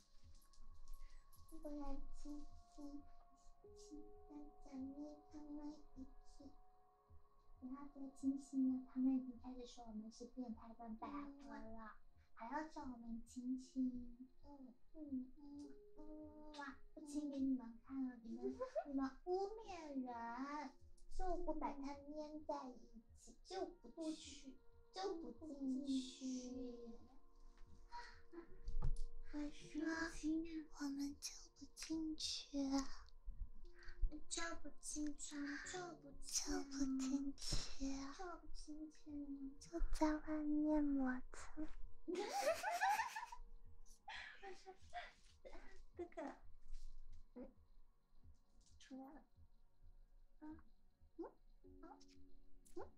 不亲亲亲，亲的奖励他们一次。不要再亲亲了，他们已经开始说我们是变态跟百合了，还要叫我们亲亲。嗯嗯嗯，哇，亲给你们看了，你们你们污蔑人，就不把它粘在一起，就不去。就不进去，我说我们就不进去，就不进去，就不进去，就不进去，就在外面磨蹭。哈哈哈哈哈！我说哥哥出来了，啊，嗯，啊，嗯。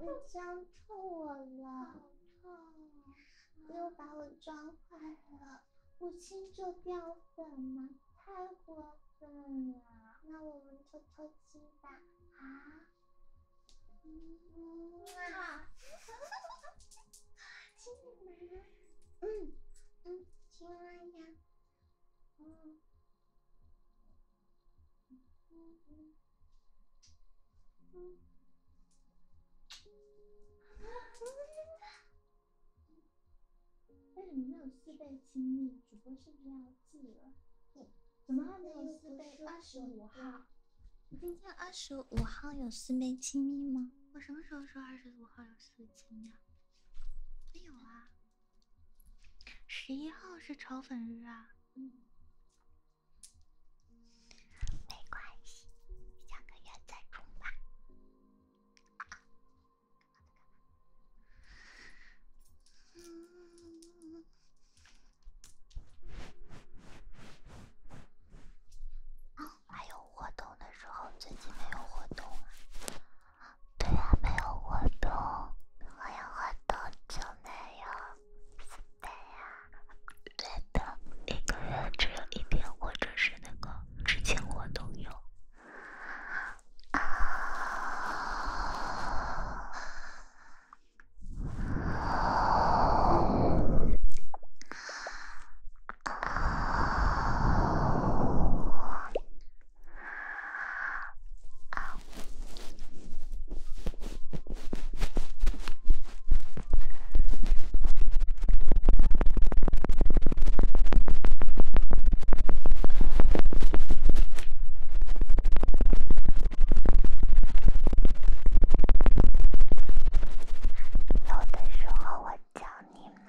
你将错了，好又把我撞坏了，不亲就掉粉吗？太过分了！那我们偷偷亲吧。啊！青 蛙，嗯嗯，青蛙呀。为什么没有四倍亲密？主播是不是要记了？怎么还没有四倍？二十五号，今天二十五号有四倍亲密吗？我什么时候说二十五号有四倍亲啊？没有啊。十一号是炒粉日啊，没关系，下个月再冲吧。还有活动的时候，最近没有活动。对啊，没有活动，我有的就那样，是的呀。对的，一个月只有一天，或者是那个之前我都有。啊。有的时候我叫你吗？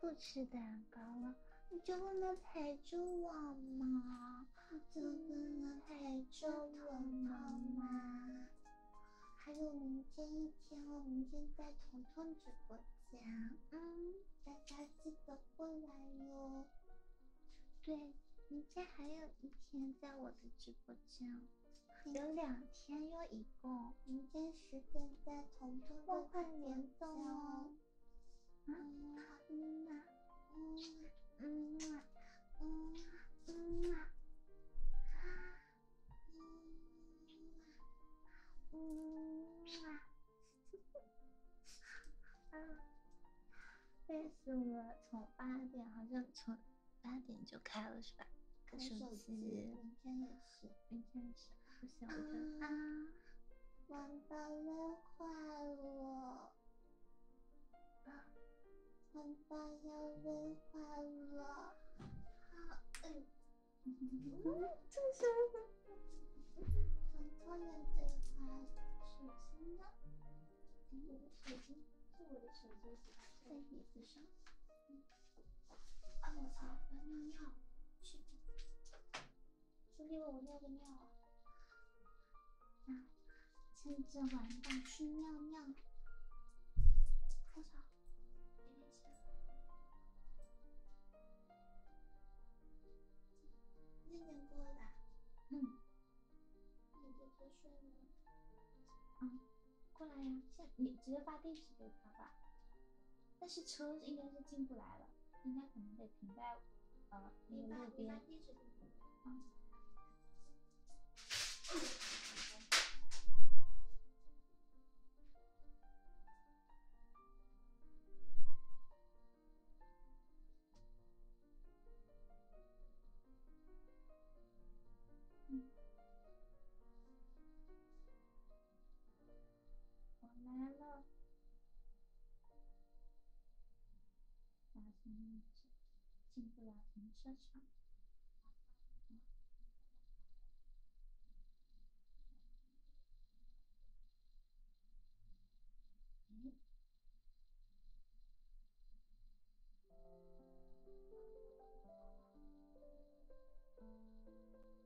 不吃的。高了，你就不能陪着我吗？你就不能陪着我吗？还有明天一天哦，明天在彤彤直播间，嗯，大家记得过来哟。对，明天还有一天在我的直播间，有两天，又一共，明天十点在彤彤的快联动哦。累死了，从八点，好像从八点就开了是吧？手机，明天也是，明天也是，不我得啊。爸爸累坏了，爸爸要累坏了。好，嗯，这是什么？偷偷研究他的手机呢？我的手机是我的手机，在椅子上。啊，我擦，方便尿。是因我尿个尿，啊！趁着晚上去尿尿。多少？那边过来？嗯。你就别睡了。嗯，过来呀！现你直接发地址给他吧。但是车应该是进不来了，应该可能得停在呃那个路边。我来了，哪停车？进不了停车场。嗯，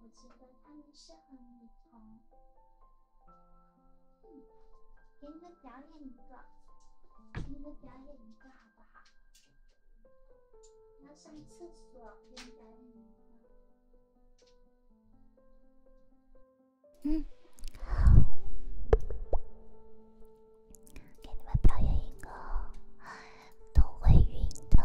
我觉得他们适合女童。嗯，给你们表演一个，给你们表演一个，好不好？我要上厕所，给你表演一个。嗯，给你们表演一个都会晕的。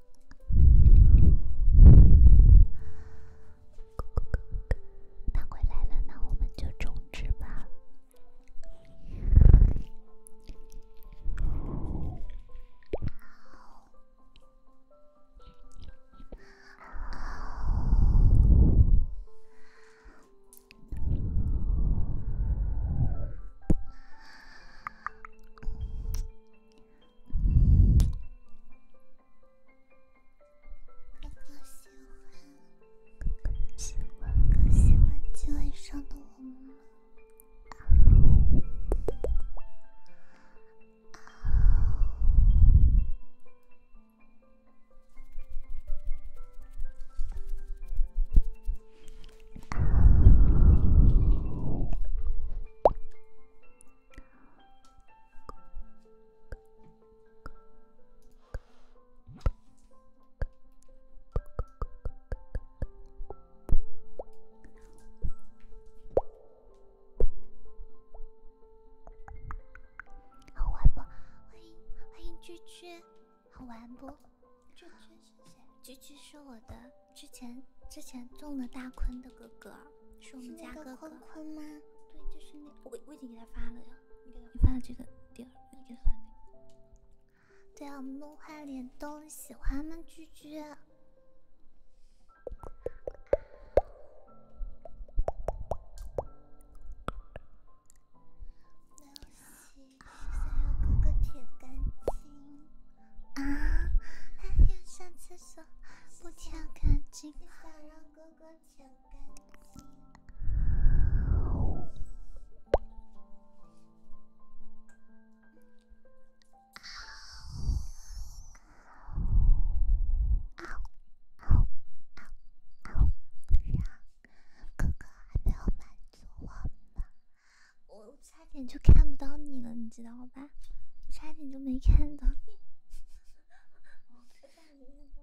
哥哥哥哥，他回来了，那我们就终止吧。哥哥喜欢，哥哥喜欢，喜欢今晚上的我们。啊！啊！好玩不？欢迎欢迎，居居，好玩不？居居，居居是我的，之前之前中了大坤的哥哥。是我们家坤坤吗？对，就是那我我已经给他发了呀。你给他发的这个点，对啊，我们梦幻联动，喜欢吗，居居？刘希，想要哥哥舔干净。啊？上次。不挑干净。好，好，好，不让哥哥还没有满足我吗？我差点就看不到你了，你知道吗？吧，差点就没看到。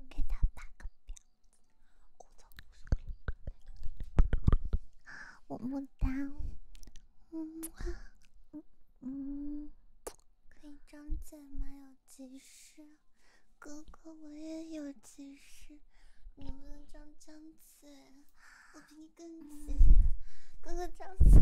给他打个表。我么么哒，嗯嗯，可以张嘴吗？有急事，哥哥我也有急事，能不能张张嘴？我比你更急，哥哥张嘴。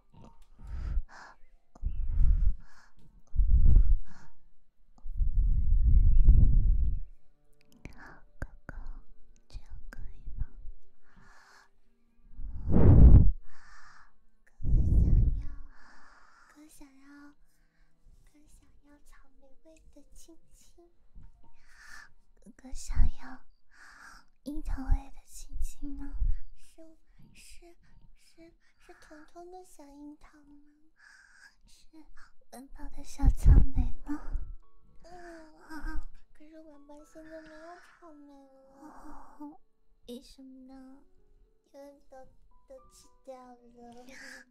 哥哥，这样可以吗？哥哥想要，哥哥想要，哥哥想要草莓味的亲亲。哥哥想要樱桃味的亲亲吗？是是是。是彤彤的小樱桃吗？是晚宝的小草莓吗？嗯，可是晚宝现在没有草莓了，为什么？呢？因为都都吃掉了。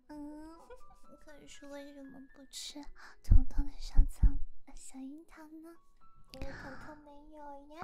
嗯，可是为什么不吃彤彤的小草小樱桃呢？因为彤彤没有呀。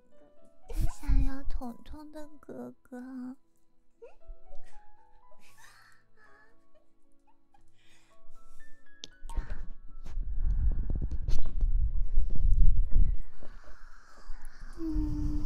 我想要彤彤的哥哥。嗯。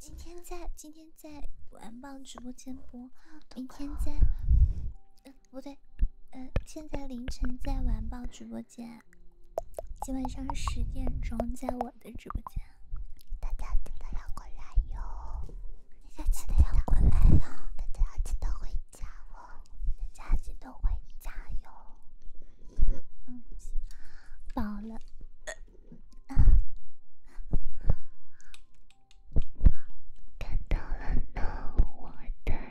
今天在今天在晚啊！直播间播，明天在不对，嗯，现在凌晨在晚报直播间，今晚上十点钟在我的直播间，大家记得要过来哟。大家记得要过来哟，大家记得回家哦，大家记得回家哟。嗯，饱了啊，看到了呢，我的。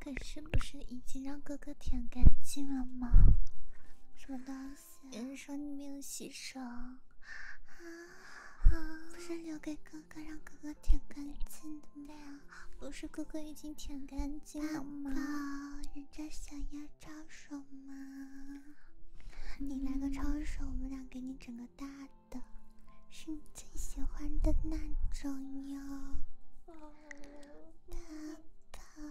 可是不是已经让哥哥舔干净了吗？什么东西？有人说你没有洗手，啊啊！不是留给哥。哥哥让哥哥舔干净的呀？不是哥哥已经舔干净了吗？人宝，想要招手吗？你来个招手，我们俩给你整个大的，是你最喜欢的那种哟。大宝，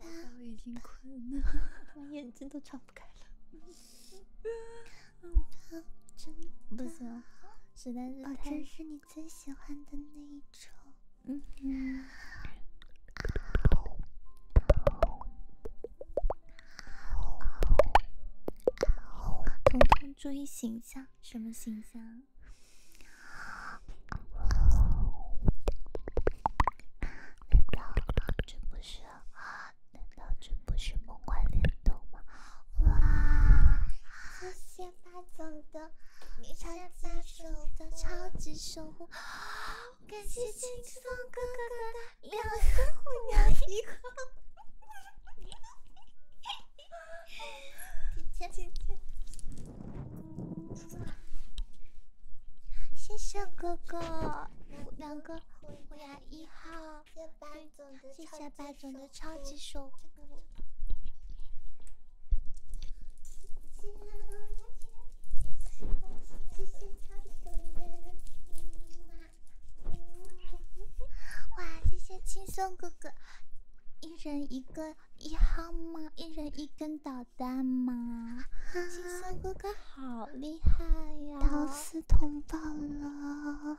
大宝已经困了，眼睛都睁不开了。嗯，真不行实在是太……真是你最喜欢的那一种。嗯。啊哦啊哦啊哦！彤彤，注意形象。什么形象？难道这不是……难道这不是梦幻联动吗？哇！谢谢霸总的，超级守的，超级守护！感谢轻松哥哥的两个虎牙一号，进去谢谢哥哥，两个虎牙一号。谢谢白总的超级守护。哇，谢谢轻松哥哥，一人一个一号吗？一人一根导弹吗？轻松哥哥好厉害呀！到四通报了。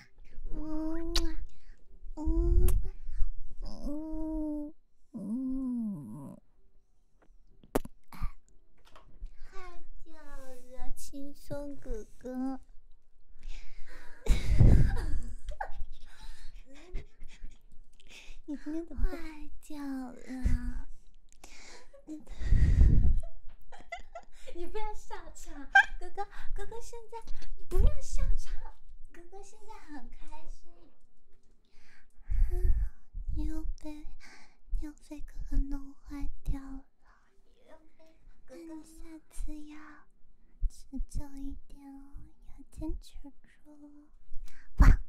嗯嗯嗯嗯，太屌了，轻松哥哥，你今天怎么？太屌了，你不要笑场，哥哥。哥哥现在，你不要笑场！哥哥现在很开心。又被又被哥哥弄坏掉了。哥哥下次要持久一点哦，要坚持住。哇！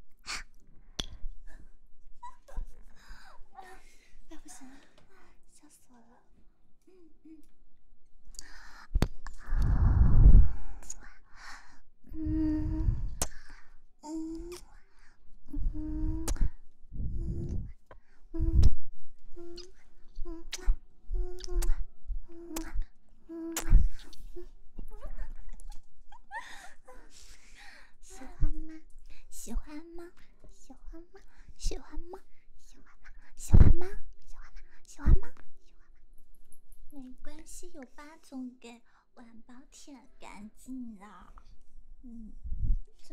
哎，不行，笑死了。嗯嗯，嗯欢吗？喜欢吗？喜欢吗？喜欢吗？喜欢吗？喜欢吗？嗯嗯嗯喜欢吗？喜欢，没关系，有霸总给晚宝舔干净了。嗯，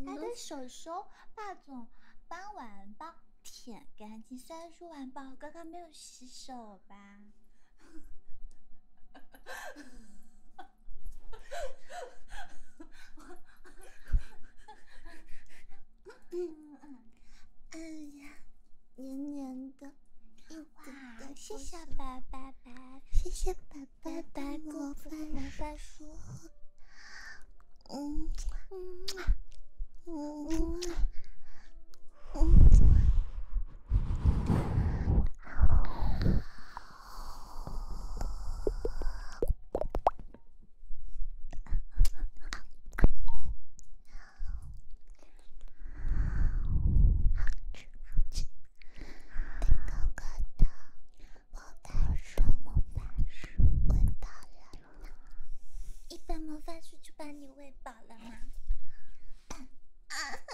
他的手手，霸总帮晚宝舔干净。虽然说晚宝刚刚没有洗手吧。嗯嗯嗯呀，黏黏的，哇！谢谢爸爸爸，谢谢爸爸爸，哥哥，拜拜，嗯嗯嗯嗯。好吃好吃！蛋糕可甜，魔法书魔法书，喂饱了你吗？一本魔法书就把你喂饱了吗？啊！啊！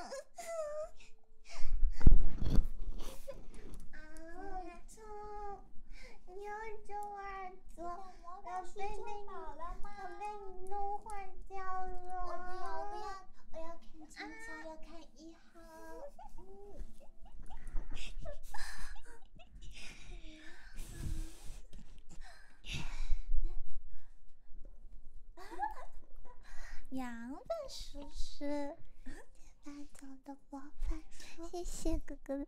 啊！臭！又臭又脏。我被弄了吗？我被你弄坏掉了。我不要，我不要，我要看清楚，要看一号。羊本史诗，节走的播放。谢谢哥哥。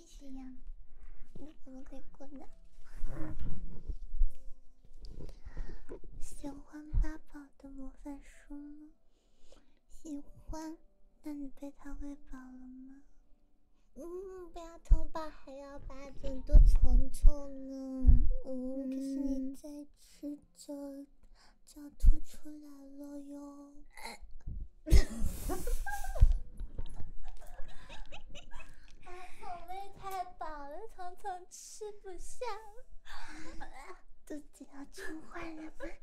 必须呀，你怎么以过来？喜欢八宝的魔法书吗？喜欢。那你被他喂饱了吗？嗯，不要偷饱还要把很多虫虫呢。嗯，可是你再吃就就要吐出来了哟。哈哈太饱了，统统吃不下了，肚子要撑坏了。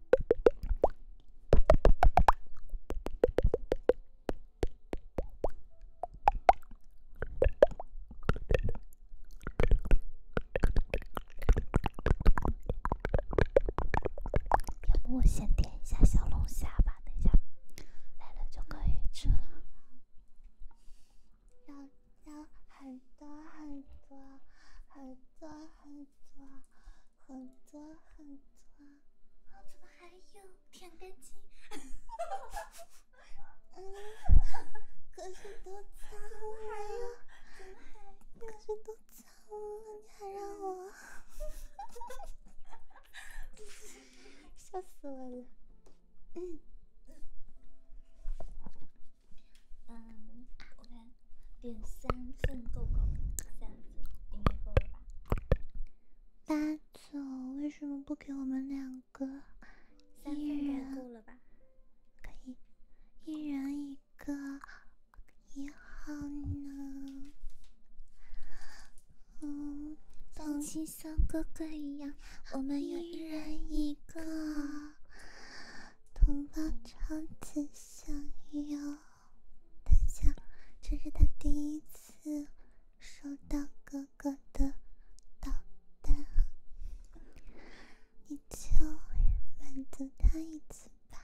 要不先点一下小龙虾吧，等一下来了就可以吃了。要很多很多很多很多。很多很多。啊！怎么还有舔干净？哈可是都脏了。还有，可是都脏了，你还让我，笑死我了！嗯，嗯，我看。点三份够不够？三份应该够了吧？八九为什么不给我们两个人？三份够了吧？可以一人一个也好呢。嗯，像心，像哥哥一样，我们一人一个，同胞超级想要。等下，这是他第一次收到哥哥的导弹，你就满足他一次吧，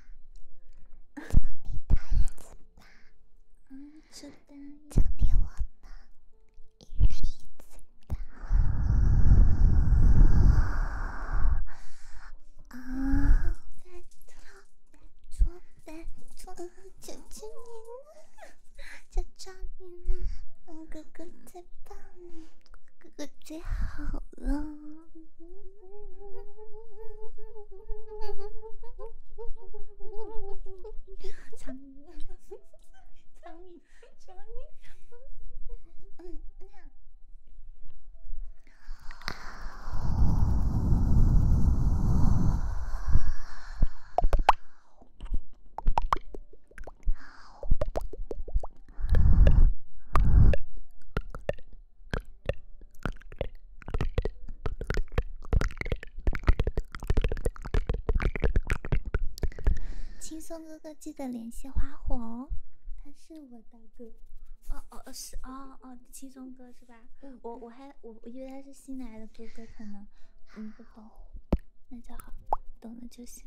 满足他一次吧，嗯，导弹奖励我吧，一人一次的。啊！拜托，拜托，拜托！求求你了，求求你了，哥哥最棒了，哥哥最好了。藏你，藏你，藏你！嗯。轻松哥哥，记得联系花火哦，他是我。大哥，哦哦是哦哦，七松哥是吧？我我还我我以为他是新来的哥哥，可能嗯，不好，那就好，懂了就行。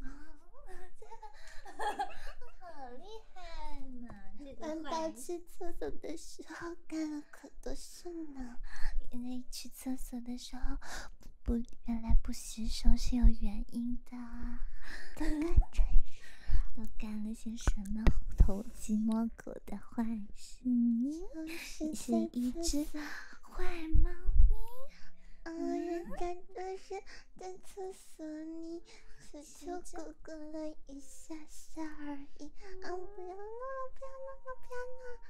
啊，真的，哈哈，好厉害呢！玩大七测的时候干了可多事呢，因为一厕所的时候不原来不洗手是有原因的，都干了些什么偷鸡摸狗的坏事？你是一只坏猫咪，嗯，人家都是在厕所里求求哥哥了一下下而已，嗯，不要闹不要闹不要闹！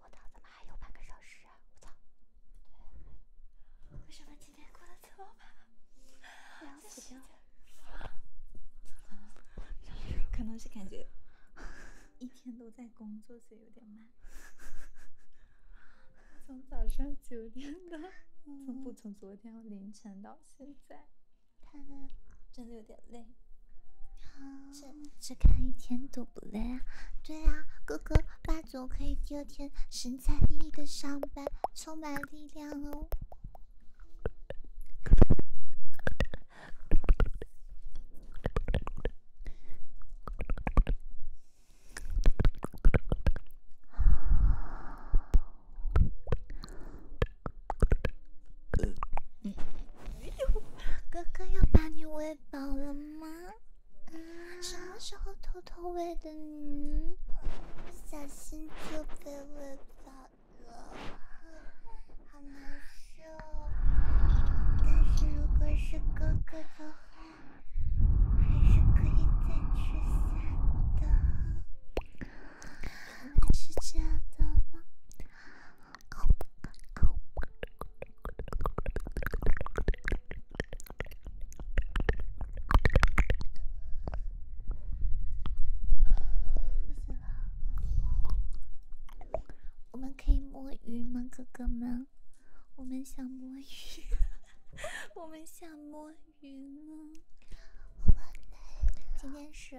我操，怎么还有半个小时啊！我操，为什么今天过得这么慢？凉死掉了！可能是感觉一天都在工作，所以有点慢。从早上九点到，从不从昨天凌晨到现在，真的有点累。好。只看一天都不累啊！对啊，哥哥霸总可以第二天神采奕奕的上班，充满力量哦。哥哥要把你喂。饱了吗？什么时候偷偷喂的你？不小心就被喂饱了，好难受。但是如果是哥哥的话，还是可以再吃下的。是这样的吗？我们可以摸鱼吗，哥哥们？我们想摸鱼，我们想摸鱼。今天是。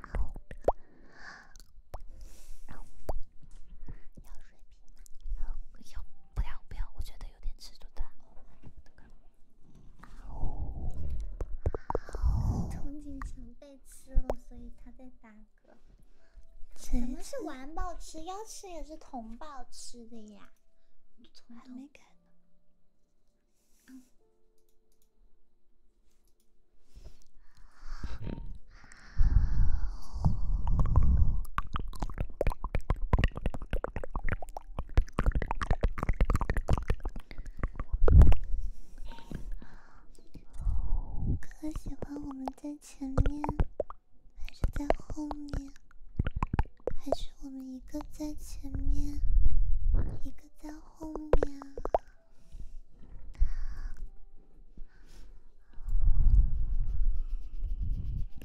要水平吗？要不要不要？我觉得有点吃重的。童锦程被吃了，所以他在打嗝。什么是完爆吃？要吃也是同爆吃的呀。还没开。可喜欢我们在前面，还是在后面，还是我们一个在前面，一个在后面。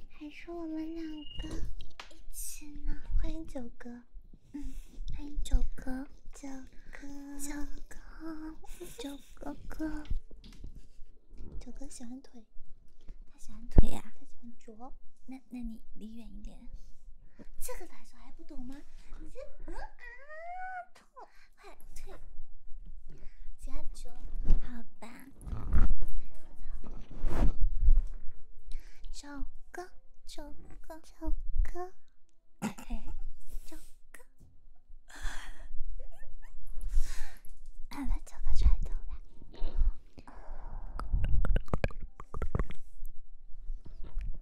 还是我们两个一起呢。欢迎九哥，嗯，欢迎九哥，九哥，九哥，九哥哥。九哥喜欢腿，他喜欢腿呀，他喜欢脚。那那你离远一点。这个动作还不懂吗？你这，嗯啊，痛！快退！九九，好吧。九哥，九哥，九哥，哎，九哥，咱们九哥转走吧。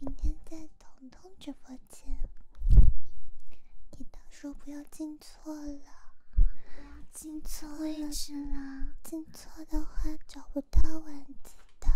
明天在彤彤直播间，你到时不要进错了，进错位置了。错的话找不到文字的。